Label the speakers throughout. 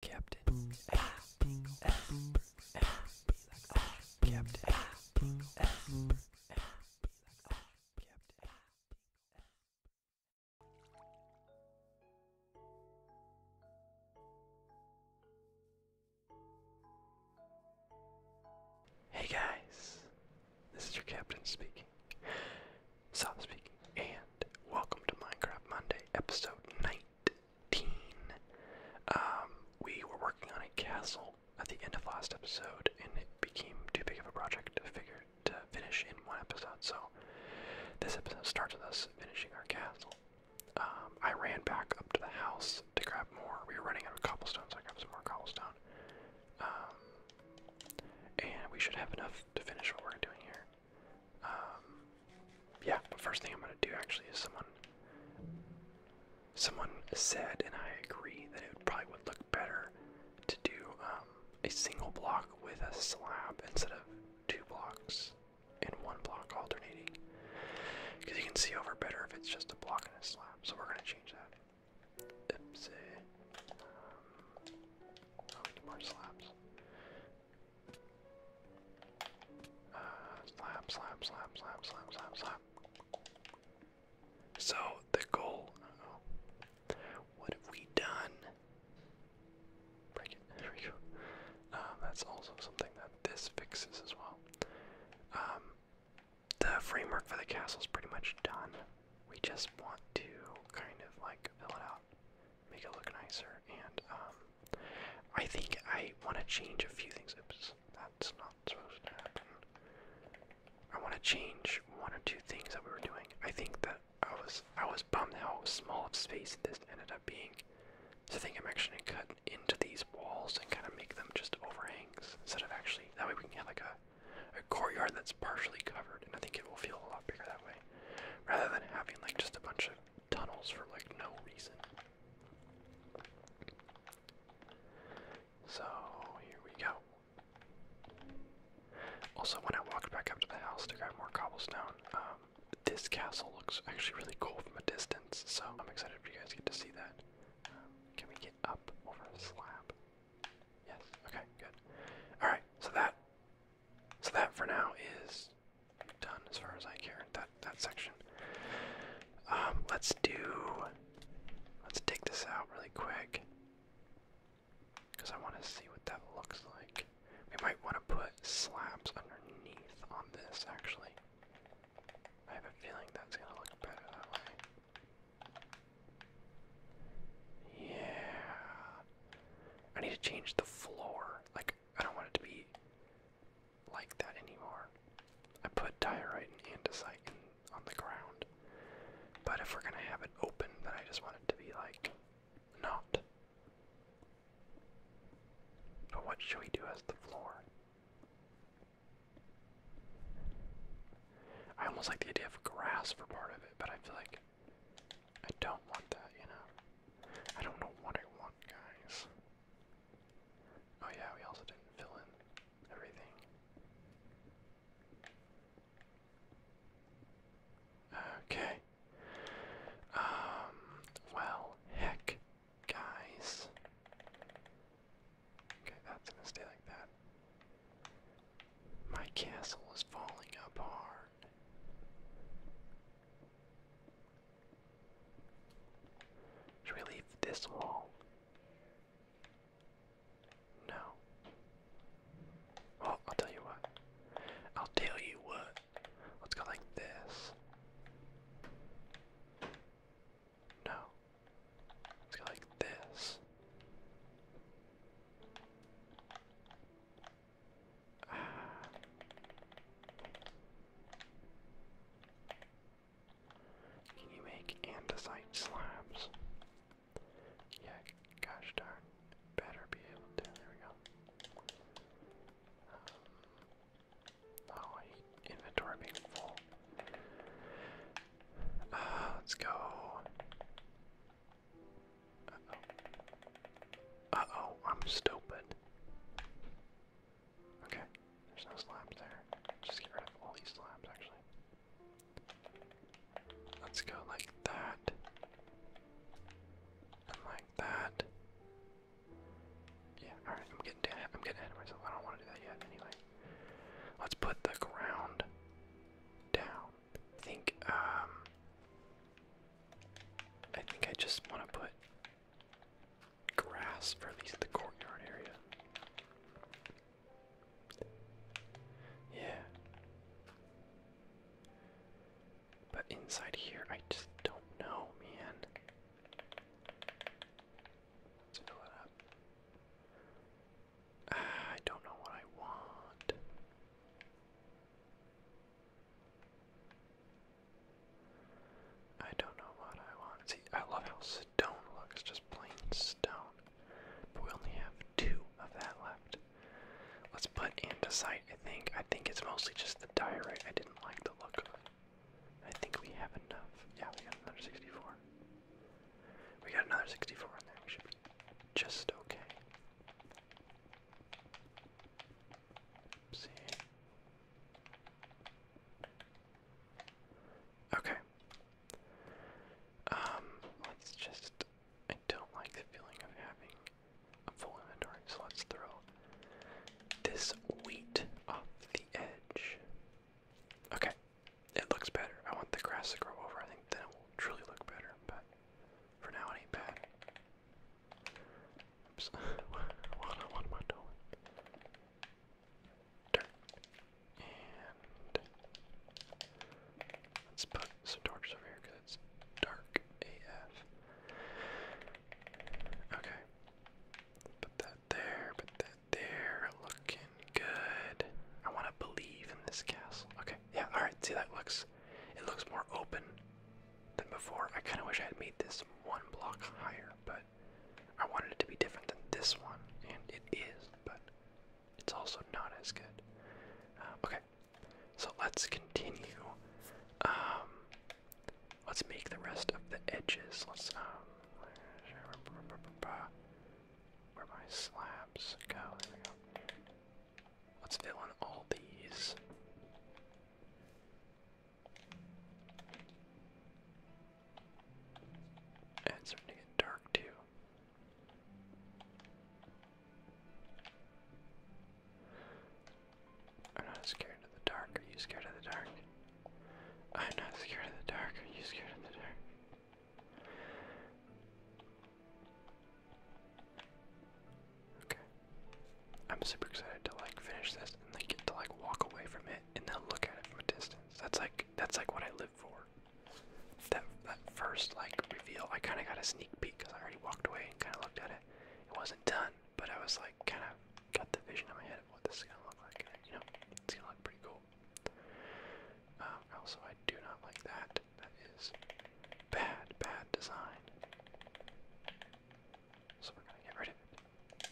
Speaker 1: Captain Hey guys, this is your captain speaking. Stop speaking, and welcome to Minecraft Monday, episode nine. Um, we were working on a castle at the end of last episode, and it became too big of a project to figure to finish in one episode. So this episode starts with us finishing our castle. Um, I ran back up to the house to grab more. We were running out of cobblestones, I grabbed some more cobblestone. Um, and we should have enough to finish what we're doing here. Um, yeah, but first thing I'm gonna do actually is someone someone said, and I agree that it probably would look better to do um, a single block with a slab instead of two blocks and one block alternating, because you can see over better if it's just a block and a slab. So we're gonna change that. Oopsie. Um, oh, more slabs slap, slap, slap, slap, slap, slap, slap. So, the goal. What have we done? Break it. There we go. Um, that's also something that this fixes as well. Um, the framework for the castle is pretty much done. We just want to kind of like fill it out make it look nicer. And um, I think I want to change a few things. Oops, that's not supposed to happen. I want to change one or two things that we were doing. I think that I was I was bummed how small of space this ended up being. So I think I'm actually gonna cut into these walls and kind of make them just overhangs instead of actually. That way we can have like a, a courtyard that's partially covered, and I think it will feel a lot bigger that way, rather than having like just a bunch of tunnels for like no reason. So here we go. Also, when I walked back up to the house to grab more cobblestone, um, this castle looks actually really cool from a distance, so I'm excited for you guys get to see that. Um, can we get up over the slab? Yes, okay, good. Alright, so that so that for now is done as far as I care. That that section. Um, let's do. Let's dig this out really quick because I want to see what that looks like. We might want to put slabs underneath on this actually. I have a feeling that's gonna look better that way. Yeah. I need to change the floor. Like I don't want it to be like that anymore. I put diorite and andesite on the ground. But if we're gonna have it open, then I just want it to be like not. But what should we do as the floor? I almost like the idea of grass for part of it, but I feel like I don't want that, you know. I don't know what I want, guys. Oh yeah, we also didn't fill in everything. Okay. Um, well, heck, guys. Okay, that's gonna stay like that. My castle is falling apart. Should we leave this wall? No. Well, I'll tell you what. I'll tell you what. Let's go like this. No. Let's go like this. Can you make andesite slabs? Yeah, gosh darn. Better be able to. There we go. Um, oh, inventory being full. Uh, let's go. Uh-oh, I'm stupid. Okay, there's no slabs there. Just get rid of all these slabs, actually. Let's go like that. like that. Yeah, alright, I'm getting down, I'm getting ahead of myself. I don't want to do that yet anyway. Let's put the ground down. I think um I think I just wanna put grass for at least the courtyard area. Yeah. But inside here, I just don't know, man. Let's fill it up. Ah, I don't know what I want. I don't know what I want. See, I love how stone looks, just plain stone. But we only have two of that left. Let's put andesite, I think. I think it's mostly just the diorite. I didn't like the look I think we have enough. Yeah, we got another 64. We got another 64 in there. We should be just okay. Okay. Um, let's just. I don't like the feeling of having a full inventory, so let's throw this wheat off the edge. Okay, it looks better. I want the grass to grow over. I think then it will truly look better, but for now it what, am I doing? Dirt. let's put some torches over here because it's dark AF. Okay. Put that there, put that there. Looking good. I want to believe in this castle. Okay. Yeah, alright. See, that looks. It looks more open than before. I kind of wish I had made this one block higher, but I wanted it to be different than this one, and it is, but it's also not as good. Um, okay, so let's continue. Um, let's make the rest of the edges. Let's um, where my slabs go. Let's fill in all these it's starting to get dark too. I'm not scared of the dark. Are you scared of the dark? I'm not scared of the dark. Are you scared of the dark? Okay. I'm super excited to like finish this and like get to like walk away from it and then look at it from a distance. That's like that's like what I live for. That that first like reveal, I kind of got a sneak peek because I already walked away and kind of looked at it. It wasn't done, but I was like kind of got the vision in my head of what this is gonna look like. You know, it's gonna look pretty cool. Um, also, I do not like that. That is bad, bad design. So we're going to get rid of it.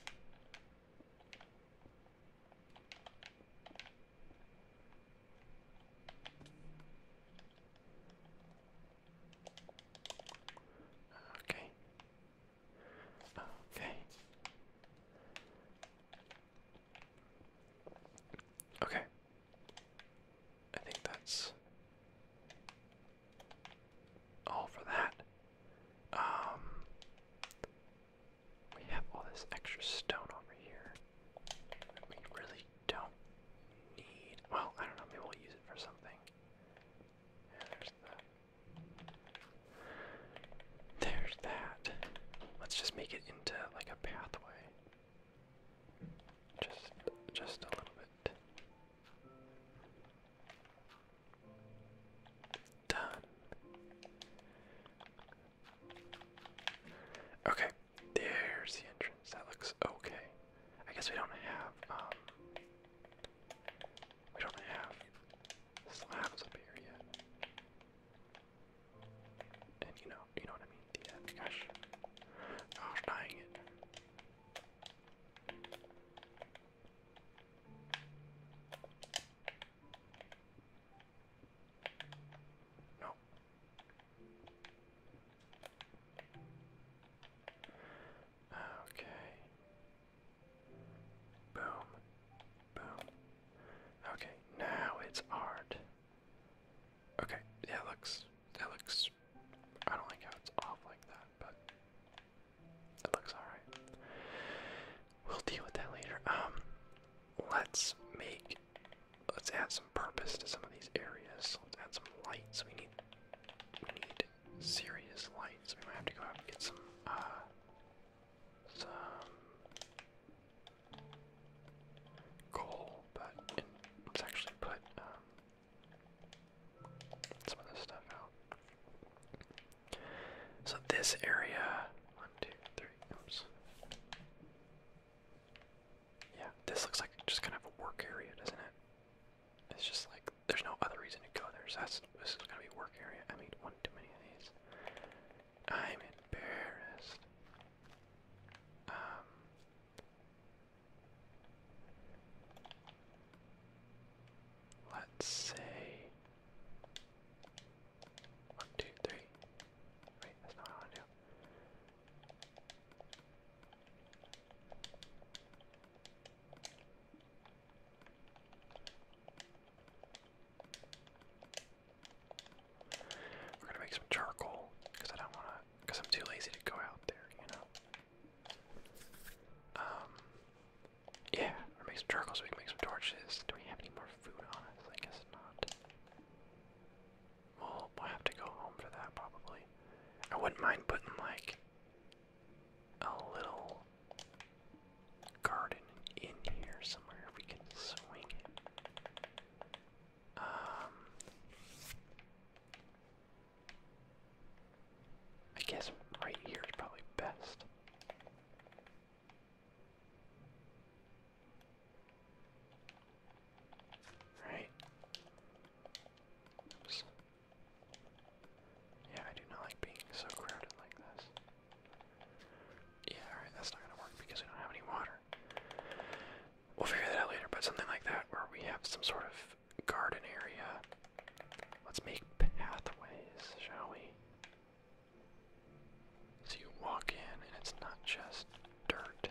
Speaker 1: Okay. Okay. Okay. I think that's all oh, for that. Um, we have all this extra stone over here we really don't need. Well, I don't know, maybe we'll use it for something. There's that. Let's just make it into like a pathway. Just just a little bit. Done. Okay, there's the entrance. That looks okay. I guess we don't have um we don't have slabs up here yet. And you know, you know what I mean? The end. Uh, gosh. dying no. Okay. Boom. Boom. Okay, now it's art. Okay, yeah, looks. It looks. I don't like how it's off like that but it looks alright. We'll deal with that later. Um, let's make, let's add some purpose to some of these areas. Let's add some lights. We need, we need serious lights. We might have to go out and get some, uh, some coal, but let's actually put, um, some of this stuff out. So this area, one, two, three, oops. Yeah, this looks like just kind of a work area, doesn't it? It's just like there's no other reason to go there. So that's this is gonna be work area. I made one too many of these. I'm embarrassed. Um, Let's see. one, two, three. that's not what I want to do. We're gonna make some charcoal because I don't wanna, because I'm too lazy to go out there, you know. Um, yeah, or make some charcoal we can make some torches. Do we have any more food on us? I guess not. we'll have to go home for that probably. I wouldn't mind putting like a little garden in here somewhere if we can swing it. Um, I guess right here is probably best. Right. Oops. Yeah, I do not like being so crowded like this. Yeah, alright, that's not gonna work because we don't have any water. We'll figure that out later, but something like that where we have some sort of garden area. Let's make pathways, shall we? So you walk in and it's not just dirt.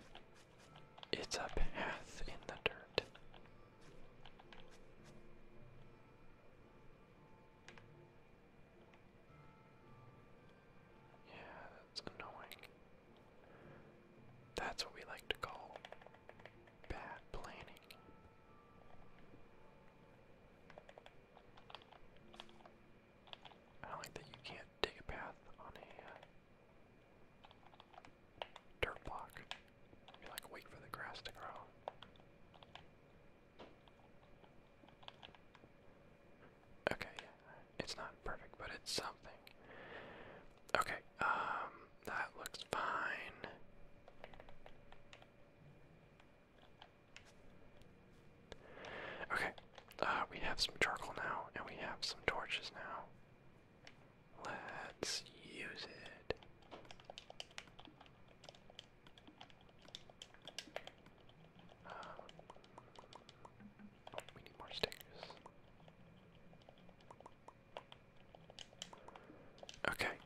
Speaker 1: It's a path in the dirt. Yeah, that's annoying. That's what we like to call bad planning. I don't like that you can't dig a path on a uh, dirt block. You like wait for the grass to grow. Okay, yeah, it's not perfect, but it's something. Okay, um, that looks fine. Okay, uh, we have some charcoal now, and we have some torches now. Let's use it. Uh, we need more sticks. Okay,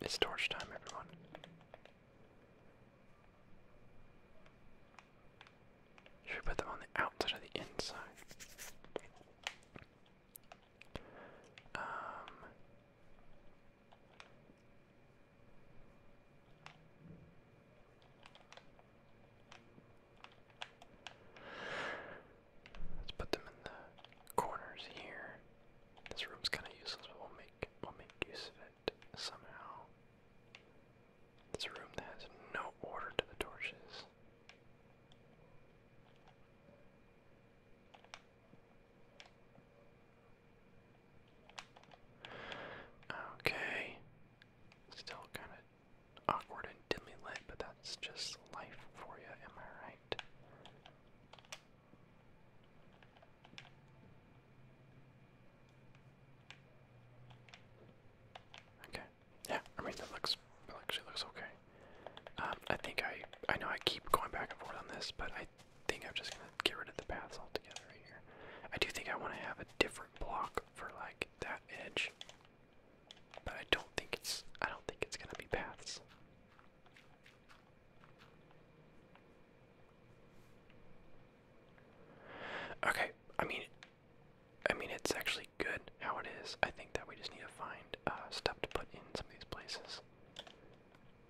Speaker 1: it's torch time, everyone. Should we put them on the outside or the inside? Um, Let's put them in the corners here. This room's kind of useless, but we'll make we'll make use of it somehow. It's room that has no order to the torches. Okay. Still kind of awkward and dimly lit, but that's just life for you, am I right? Okay. Yeah, I mean that looks actually looks okay. Um, I think I I know I keep going back and forth on this, but I think I'm just gonna get rid of the paths altogether here. I do think I want to have a different block for like that edge, but I don't think it's I don't think it's gonna be paths. Okay, I mean, I mean it's actually good how it is. I think that we just need to find uh, stuff to put in some of these places.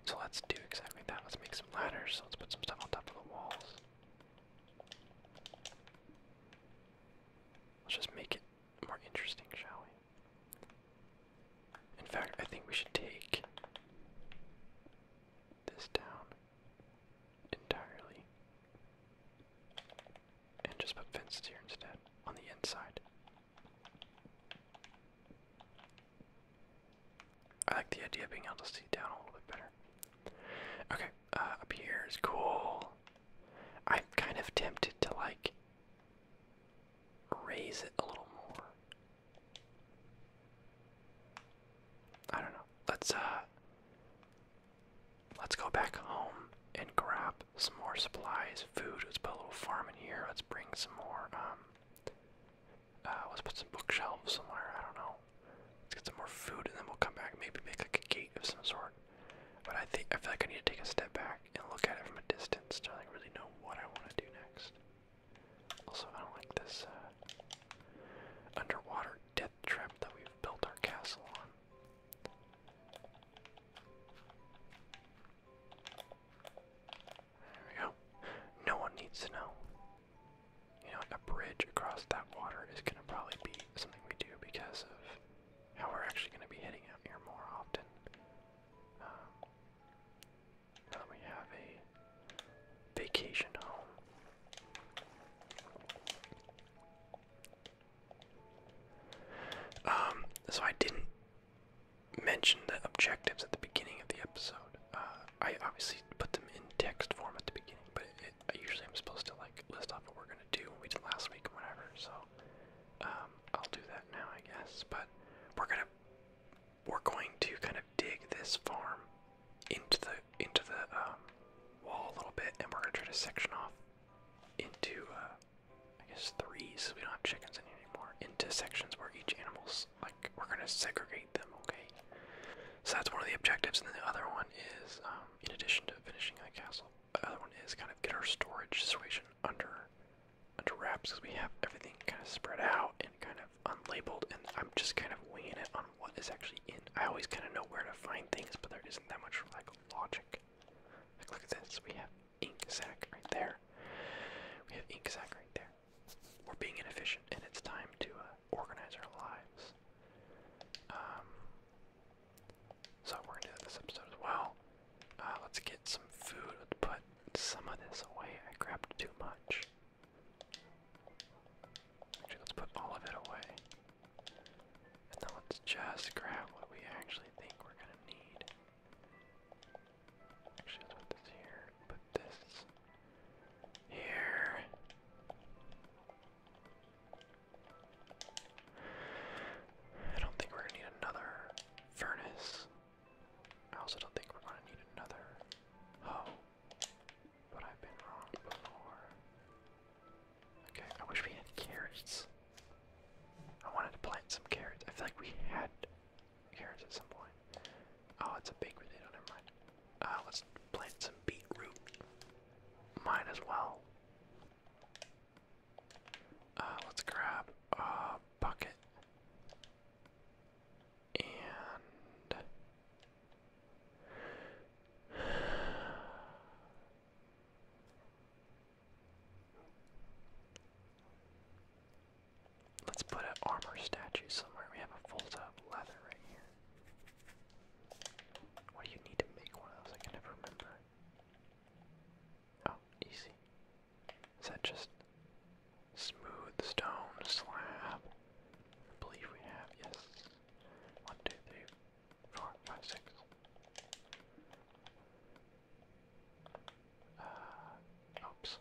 Speaker 1: So let's do exactly that. Let's make some ladders. Let's put some stuff on top of the walls. Let's just make it more interesting, shall we? In fact, I think we should take this down entirely and just put fences here instead on the inside. I like the idea of being able to see down a little bit better. Okay, uh, up here is cool. I'm kind of tempted to like raise it a little more. I don't know. Let's uh let's go back home and grab some more supplies, food. Let's put a little farm in here. Let's bring some more um uh, let's put some bookshelves somewhere, I don't know. Let's get some more food and then we'll come back, maybe make like a gate of some sort. But I think I feel like I need to take a step back back and look at it from a distance to really know what I want to do next. Also, I don't like this uh, underwater death trap that we've built our castle on. There we go. No one needs to know. You know, a bridge across that water is going to probably be something we do because of how we're actually going to be heading out here more often. Uh, now we have a vacation home. Um, so I didn't mention the objectives at the beginning of the episode. Uh, I obviously put them in text form at the beginning, but it, usually I'm supposed to like list off what we're gonna do, what we did last week, and whatever. So um, I'll do that now, I guess. But we're gonna we're going to kind of dig this farm into the into the um, wall a little bit, and we're gonna try to section off into uh, I guess three, so we don't have chickens in here anymore. Into sections where each animal's like we're gonna segregate them. Okay, so that's one of the objectives, and then the other one is um, in addition to finishing the castle, the other one is kind of get our storage situation under under wraps because we have everything kind of spread out and kind of unlabeled, and I'm just kind of weighing it on what is actually in. I always kind of know where to find things, but there isn't that much like logic. Like look at this, we have ink sac right there. We have ink sac right there. We're being inefficient, and it's time to uh, organize our lives. Um, so we're going this episode as well. Uh, let's get some food. Let's put some of this away. I grabbed too much. Actually, let's put all of it away. And then let's just grab what we actually think we're gonna need. Actually, put this here. Put this here. I don't think we're gonna need another furnace. I also don't think we're going to need another hoe, but I've been wrong before. Okay, I wish we had carrots. I wanted to plant some carrots. I feel like we had carrots at some point. Oh, it's a big potato, never mind. Uh, let's plant some beetroot. Might as well. Uh, let's grab, uh, bucket. And let's put an armor statue somewhere. We have a fold up leather right here. What do you need to make one of those? I can never remember. Oh, easy. Is that just smooth stone slab? I believe we have, yes. One, two, three, four, five, six. Uh, oops.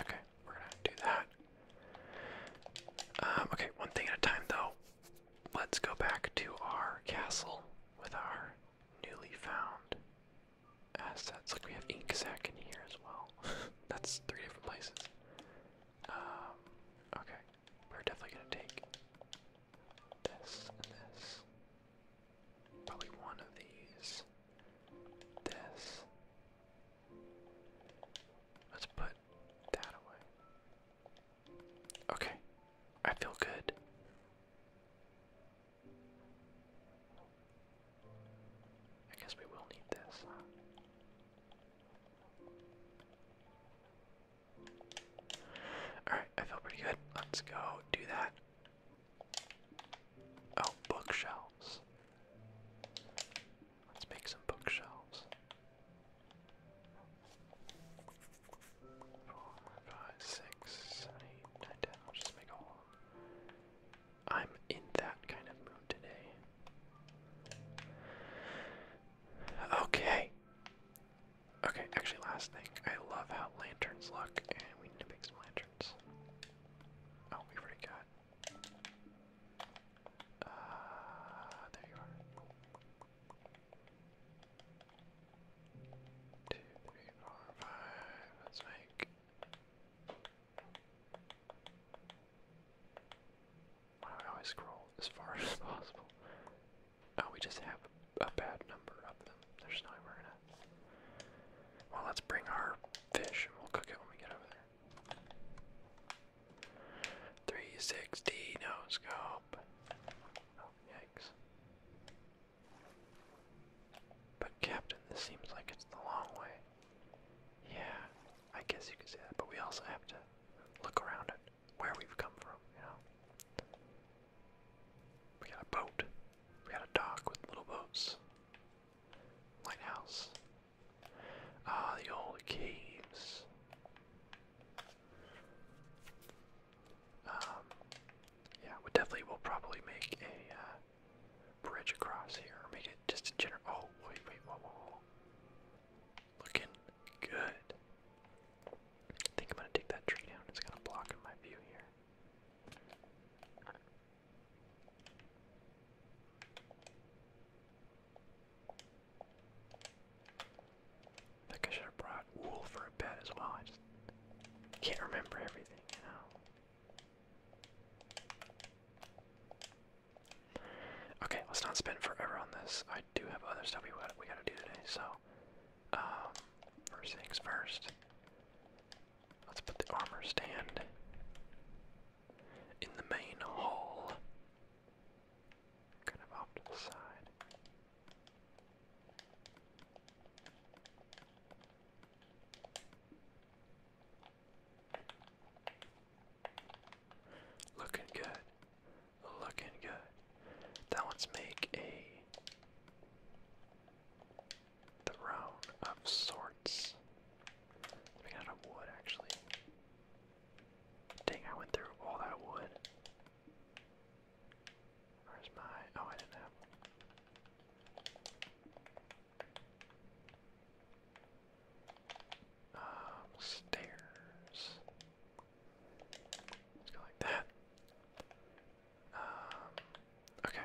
Speaker 1: Okay, we're gonna do that. Um, okay, one thing at a time though let's go back to our castle with our newly found assets. Like we have ink sac in here as well. That's three different places. Um, okay, we're definitely gonna take this and this. Probably one of these. This. Let's put that away. Okay, I feel good. I guess we will need this. Alright, I feel pretty good. Let's go do that. Oh, bookshelves. Let's make some bookshelves five, six, seven, eight, nine, ten. I'll just make all of I'm in that kind of mood today. Okay. Okay, actually, last thing. I love how lanterns look, and we need to make some lanterns. Oh, we already got. Uh, there you are. Two, three, four, five. Let's make. I always scroll as far as possible? Oh, we just have a bad number of them. There's no way we're gonna. Well, let's bring our fish and we'll cook it when we get over there. 360 no scope. Oh, yikes. But Captain, this seems like it's the long way. Yeah, I guess you could say that, but we also have to look around at where we've come from, you know? We got a boat. We got a dock with little boats. Lighthouse. Ah, the old caves. Um, yeah, we definitely will probably make a uh, bridge across here, or make it just a general. Oh, wait, wait, whoa, whoa, Looking good. I think I'm gonna take that tree down. It's gonna block my view here. I think I should have brought wool for a bed as well. I just can't remember everything, you Okay, let's not spend forever on this. I do have other stuff we got we gotta do today, so um, first things first. Let's put the armor stand in the main hall. Kind of off to the side. Looking good. Looking good. That one's make a the of sorts. We got a wood actually. Dang, I went through all that wood. Where's my... Oh, I didn't have um, stairs. Let's go like that. Um, okay.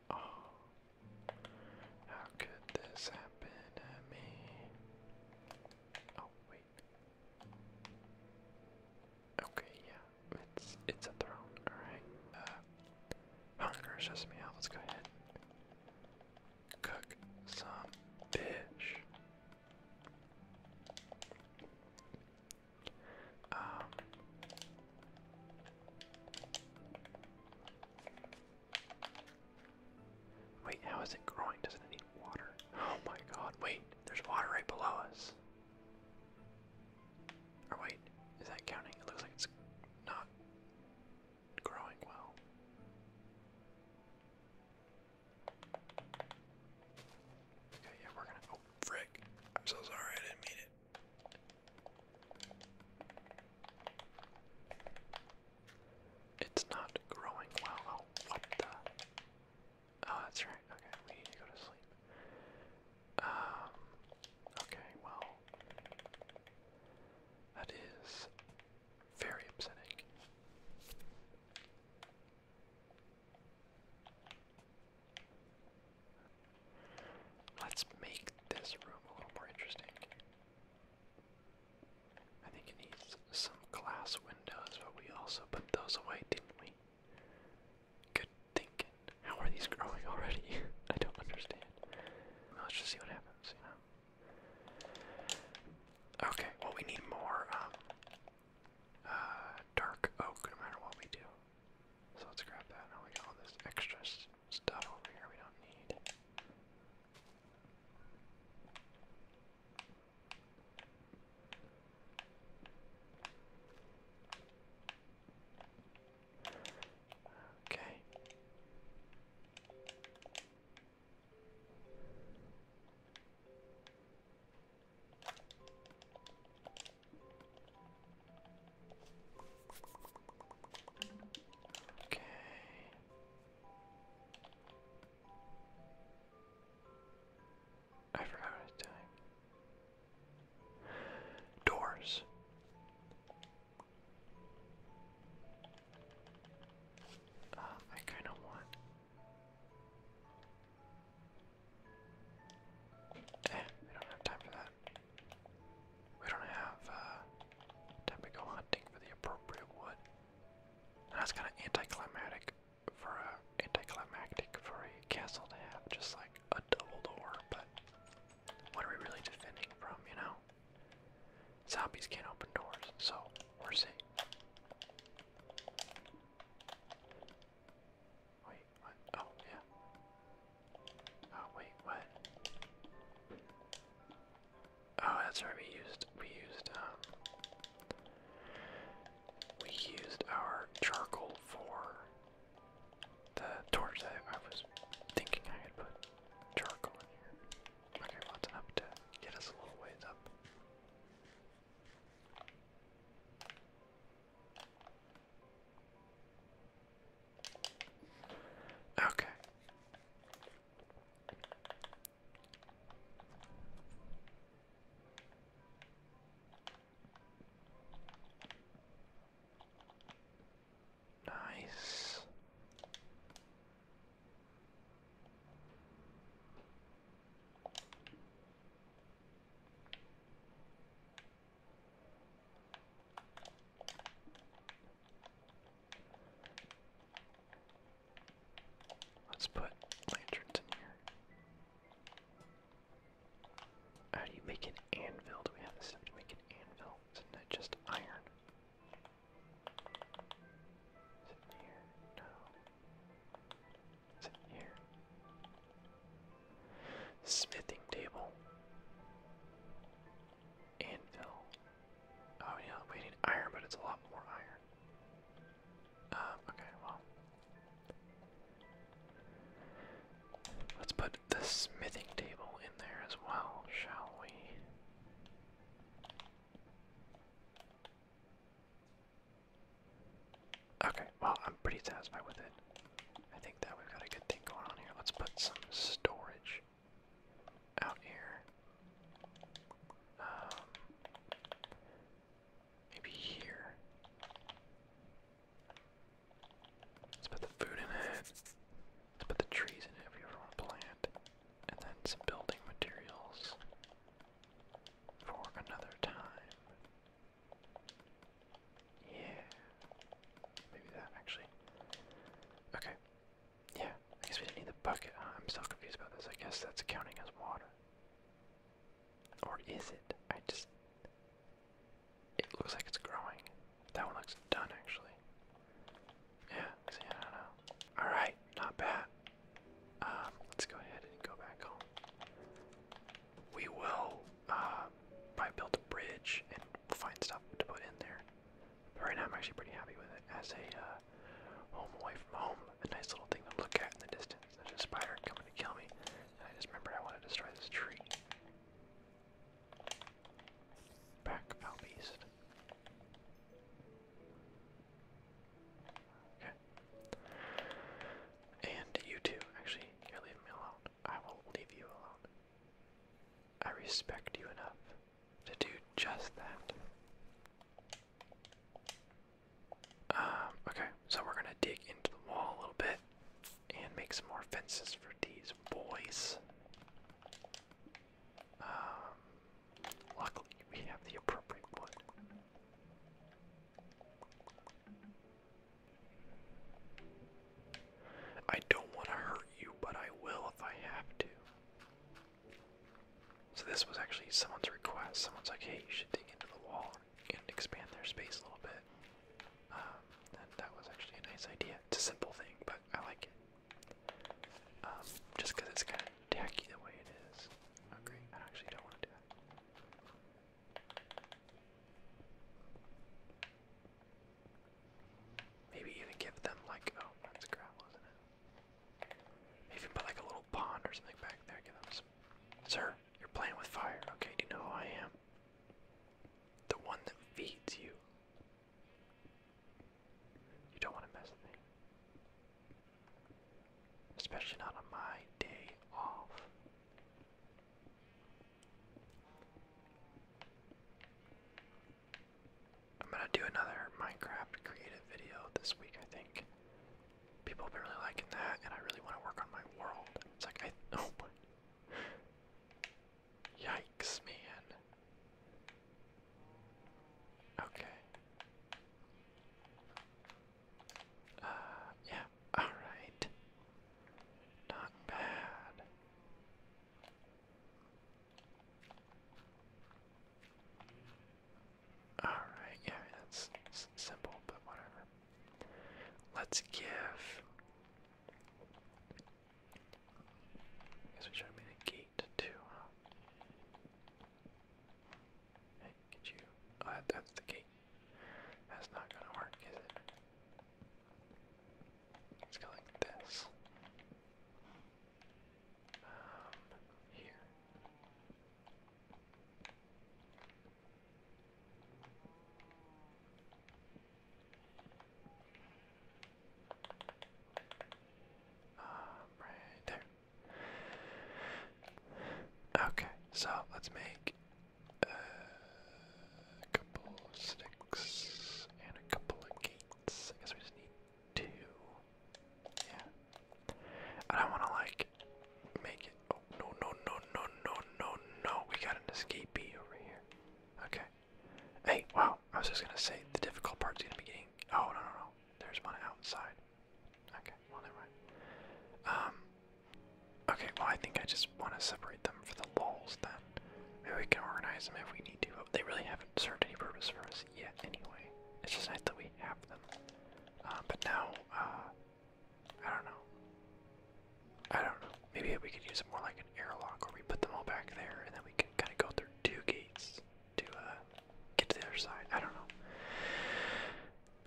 Speaker 1: Oh. How could this happen to me? Oh wait. Okay, yeah, it's it's a throne. All right. Uh, hunger shuts me Let's go ahead. cook some fish. Um, Wait, how is it growing? Doesn't it need water? Oh my god, wait, there's water right below us. Or wait, is that counting? It looks like it's not growing well. Okay, yeah, we're gonna. Oh, frick. I'm so sorry, I didn't mean it. It's not growing well. Oh, what the? Oh, that's right. Okay, we need to go to sleep. Um, okay, well, that is very upsetting. Let's make this room a little more interesting. I think it needs some glass windows, but we also put those away, didn't we? Good thinking. How are these growing already? I don't understand. Let's just see what happens, Okay, well, we need more um, uh, dark oak no matter what we do. So let's grab that. Now we got all this extra stuff over here we don't need. Okay. Okay. I forgot what I Doors. Uh, I kind of want. Eh, we don't have time for that. We don't have uh, hunting for the appropriate wood. And that's kind of anticlimactic for a anticlimactic for a castle to have just like a double door. But what are we really defending from? You know, zombies can't open doors, so we're safe. Wait, Oh yeah. Oh wait, what? Oh, that's right. We used we used um we used our charcoal for the torch that I was thinking I had put charcoal in here. Okay, well that's to get us a little ways up. Okay. Nice. Let's put lanterns in here. How do you make an anvil? Do we have the stuff to make an anvil? is it just iron? Is it here? No. Is it here? Smithing table. Anvil. Oh yeah, we need iron, but it's a lot more iron. Um, okay, well. Let's put the smithing table in there as well, shall we? Okay, well, I'm pretty satisfied with it. I think that we've got a good thing going on here. Let's put some storage out here. Um, maybe here. Let's put the food in it. Let's put the trees in it if we ever want to plant. And then some building materials for another time. Yeah. Maybe that actually. Okay. Yeah, I guess we do not need the bucket. Uh, I'm still confused about this. I guess that's counting as water. Or is it? I just. It looks like it's growing. That one looks done actually. Yeah, I don't know. Alright, not bad. Um, let's go ahead and go back home. We will uh, probably build a bridge and find stuff to put in there right now I'm actually pretty happy with it as a uh, home away from home, a nice little thing to look at in the distance. There's a spider coming to kill me, and I just remembered I want to destroy this tree. Back out beast. Okay. And you too, actually, you're leaving me alone. I will leave you alone. I respect you enough to do just that. Um, okay, so we're gonna dig into the wall a little bit and make some more fences for these boys. Um, luckily we have the appropriate wood. I don't want to hurt you, but I will if I have to. So this was actually someone's request. Someone's like, hey, you should dig into the wall and expand their space a little bit. Um, and that was actually a nice idea. It's a simple thing, but I like it. Um, it's kind of tacky the way it is. Oh I actually don't want to do that. Maybe even give them like oh that's gravel, isn't it? Maybe put like a little pond or something back there. Give them some. Sir, you're playing with fire. Okay, do you know who I am? The one that feeds you. You don't want to mess with me. Especially not on my day off. I'm gonna do another Minecraft creative video this week, I think. People have been really liking that, and I really want to work on my world. It's like, I. Oh my. Yikes, man. Okay. Uh, yeah. Alright. Not bad. Alright, yeah, that's simple, but whatever. Let's give. guess we should have a gate too, huh? Hey, could you. Uh, that's the gate. That's not gonna work, is it? Let's go like this. Um, here. Um, right there. Okay, so let's make a couple sticks and a couple of gates. I guess we just need two. Yeah. I don't want to like make it. Oh no no no no no no no! We got an escapee over here. Okay. Hey, wow! I was just gonna say the difficult part's gonna be getting. Oh no no no! There's one outside. Okay. Well, never mind. Um. Okay. Well, I think I just want to separate them for the lulls then. Maybe we can organize them if we need to they really haven't served any purpose for us yet anyway. It's just nice that we have them. Uh, but now, uh, I don't know. I don't know. Maybe we could use it more like an airlock where we put them all back there and then we can kind of go through two gates to uh, get to the other side. I don't know.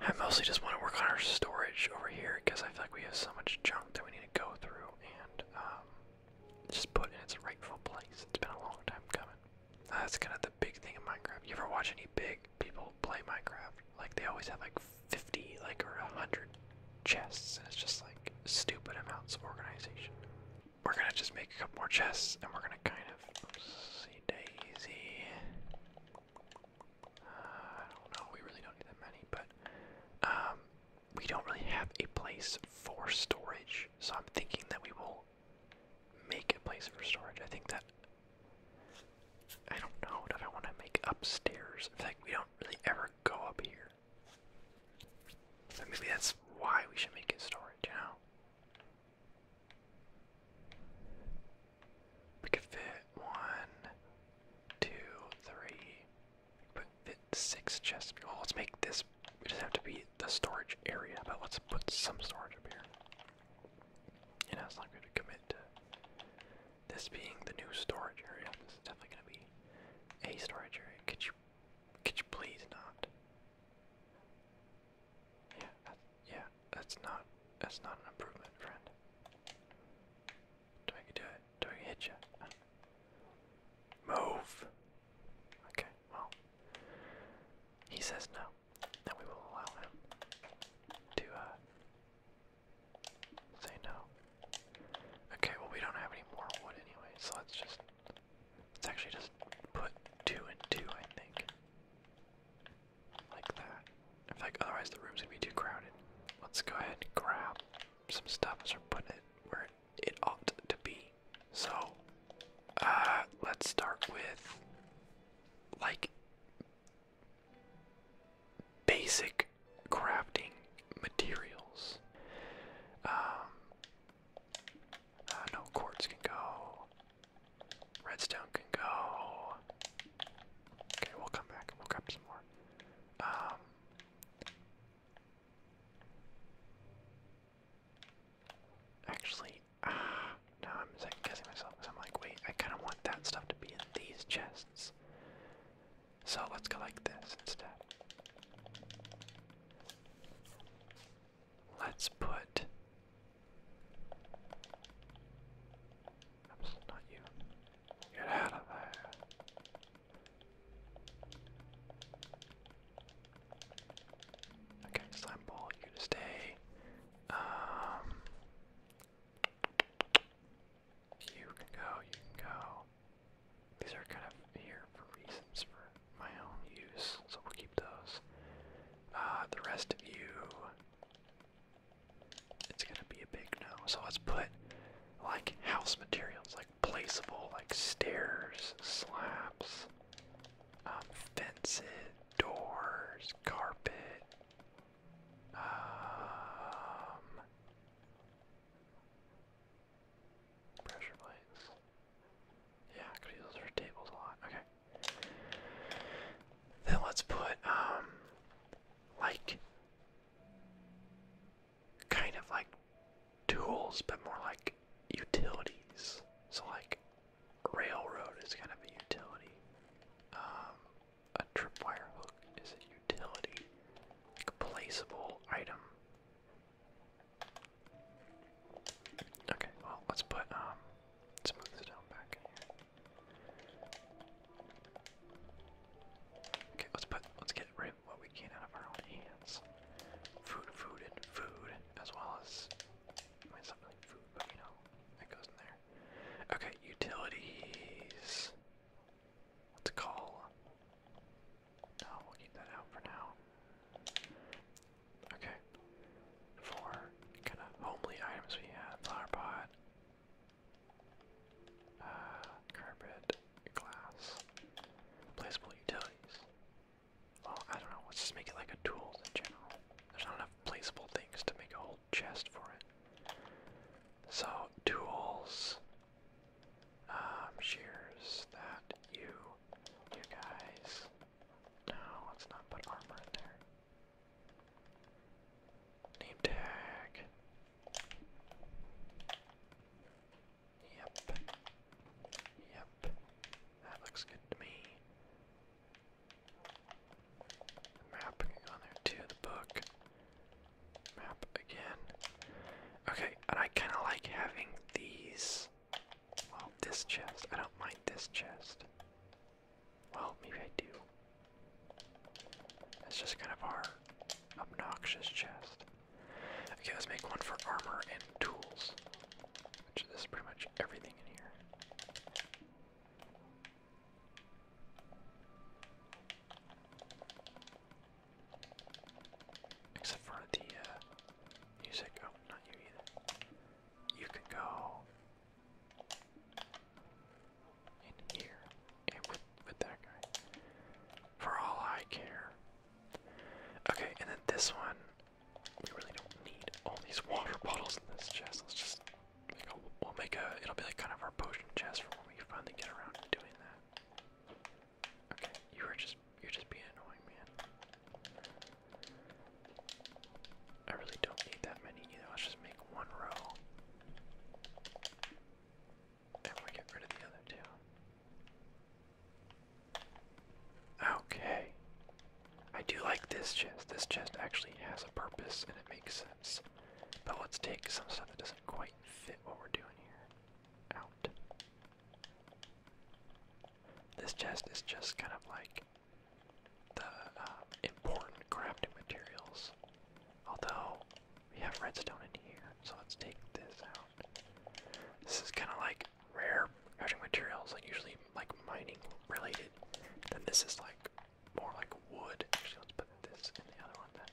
Speaker 1: I mostly just want to work on our storage over here because I feel like we have so much junk that we need to go through and um, just put in its rightful place. It's been a long time coming. That's kind of the big thing in Minecraft. You ever watch any big people play Minecraft? Like they always have like 50, like or 100 chests, and it's just like stupid amounts of organization. We're gonna just make a couple more chests, and we're gonna kind of see Daisy. Uh, I don't know. We really don't need that many, but um, we don't really have a place for storage, so I'm thinking that we will make a place for storage. I think that I don't know that I want to make upstairs. In we don't really ever go up here. maybe that's why we should make it storage, you know? We could fit one, two, three, Put six chests. Well, oh, let's make this. It just have to be the storage area, but let's put some storage up here. And that's not going to commit to this being the new storage area. This is definitely going to be a storage area. Could you, could you please not? Yeah, yeah. That's not. That's not an improvement, friend. Do I do it? Do I hit you? Move! Okay, well. He says no. Then we will allow him to uh, say no. Okay, well we don't have any more wood anyway, so let's just let's actually just put two and two, I think. Like that. In fact, otherwise the room's gonna be too crowded. Let's go ahead and grab some stuff and start putting it where it ought to be. So, uh, let's start with like basic crafting materials. Um, uh, no quartz can go. Redstone can go. Okay, we'll come back we'll grab some more. Um, Actually, ah, uh, no, I'm second guessing myself I'm like, wait, I kind of want that stuff to be in these chests. So let's go like this instead. Let's put. Oops, not you. Get out of there. Okay, slime ball, you to stay. Um, you can go, you can go. These are kind of here for reasons for my own use, so we'll keep those. Uh, the rest of you, it's gonna be a big no. So let's put like house materials, like like placeable, like stairs, slabs, um, fences, doors, carpet. Um, pressure plates. Yeah, I use those for tables a lot. Okay. Then let's put um, like kind of like tools, but more like utilities. So like railroad is kind of a utility. Um, a tripwire hook is a utility, like a placeable item. Okay, well let's put um, let's move this down back in here. Okay, let's put let's get rid of what we can out of our own hands. Food, food, and food, as well as, I mean, it's not really food, but you know, it goes in there. Okay, utilities. Let's call. No, we'll keep that out for now. Okay. For kind of homely items we had, flower pot, uh, carpet, glass, replaceable utilities. Well, I don't know. Let's just make it like a tool in general. There's not enough placeable things to make a whole chest for it. So, tools. Um, shears. That. You. You guys. No, let's not put armor in there. Name tag. Yep. Yep. That looks good to me. map on there too, the book. Map again. Okay, and I kinda like having these well, this chest. I don't mind this chest. Well, maybe I do. That's just kind of our obnoxious chest. Okay, let's make one for armor and tools. Which is pretty much everything in here. Except for the uh, music. Oh, not you either. You can go in here and with that guy. For all I care, Okay, and then this one. We really don't need all these water bottles in this chest. Let's just we'll make a it'll be like kind of our potion chest for when we finally get around to doing that. Okay, you are just you're just being annoying, man. I really don't need that many either. Let's just make one row. And we get rid of the other two. Okay. I do like this chest. This chest actually has a purpose and it makes sense. But let's take some stuff that doesn't quite fit what we're doing here out. This chest is just kind of like the um, important crafting materials. Although we have redstone in here, so let's take this out. This is kind of like rare crafting materials, like usually like mining related. Then this is like more like wood. Actually, let's put this in the other one then.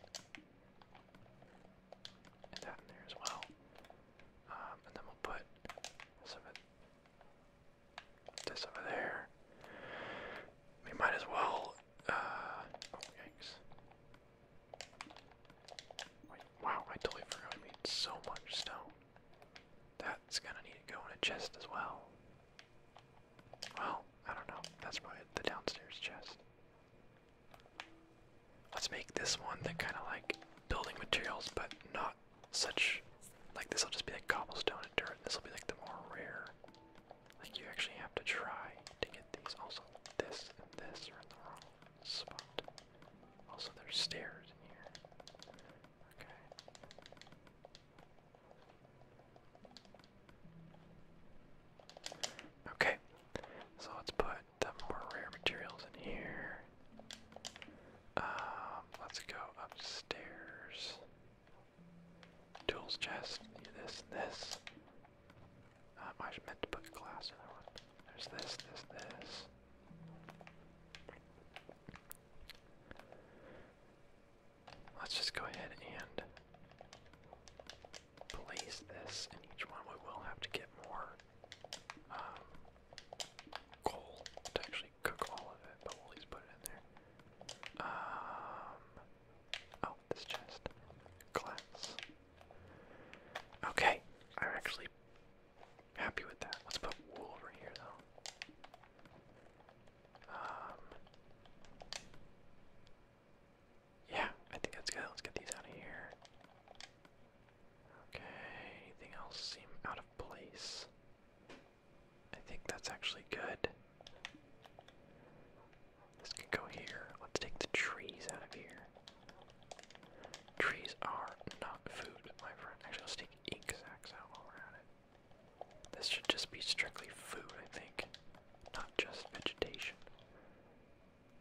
Speaker 1: that in there as well. Um, and then we'll put this over, this over there. We might as well, uh, oh yikes wow, I totally forgot we made so much stone. That's gonna need to go in a chest as well. Well, I don't know. That's probably the downstairs chest. Let's make this one that kind of like building materials, but not such. Like this will just be like cobblestone and dirt. This will be like the more rare. Like you actually have to try to get these. Also, this and this are in the wrong spot. Also, there's stairs in here. Okay. Okay, so let's put the more rare materials in here. Um, let's go upstairs. Tools chest, this this. Um, I meant to put glass in that There's this, this, this. Let's just go ahead and place this in each one. We will have to get more um, coal to actually cook all of it, but we'll at least put it in there. Um, oh, this chest. Glass. Okay, I actually Happy with that. Let's put wool over here though. Um, yeah, I think that's good. Let's get these out of here. Okay, anything else seem out of place? I think that's actually good. This can go here. Let's take the trees out of here. Trees are not food, my friend. Actually, let's take ink out while we're at it. This should just be strictly food, I think, not just vegetation.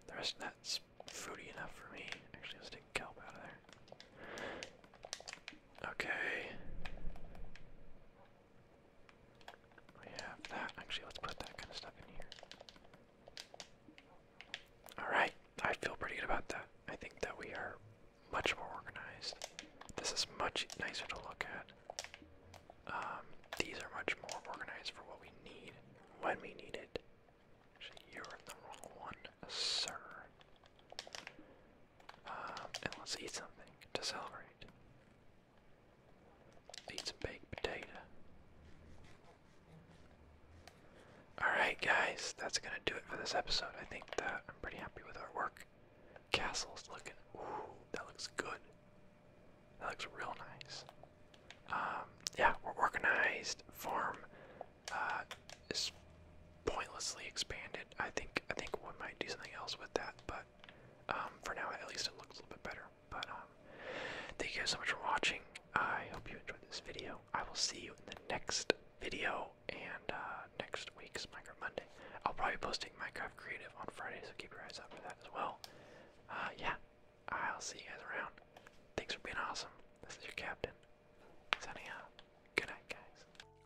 Speaker 1: The rest of that's fruity enough for me. Actually, let's take kelp out of there. Okay. We have that. Actually, let's put that kind of stuff in here. Alright. I feel pretty good about that. I think that we are much more organized. This is much nicer to look at. Um, these are much more organized for what we need when we need it. you're in the wrong one, sir. Um, and let's eat something to celebrate. Eat some baked potato. Alright, guys, that's gonna do it for this episode. I think that I'm pretty happy with our work. Castle's looking. Ooh, that looks good. That looks real nice. Um, yeah, we're organized. Farm uh, is pointlessly expanded. I think I think we might do something else with that, but um, for now, at least it looks a little bit better. But um, thank you guys so much for watching. I hope you enjoyed this video. I will see you in the next video and uh, next week's Minecraft Monday. I'll probably be posting Minecraft Creative on Friday, so keep your eyes out for that as well. Uh, yeah, I'll see you guys around. Thanks for being awesome. This is your captain, signing out. Good night, guys.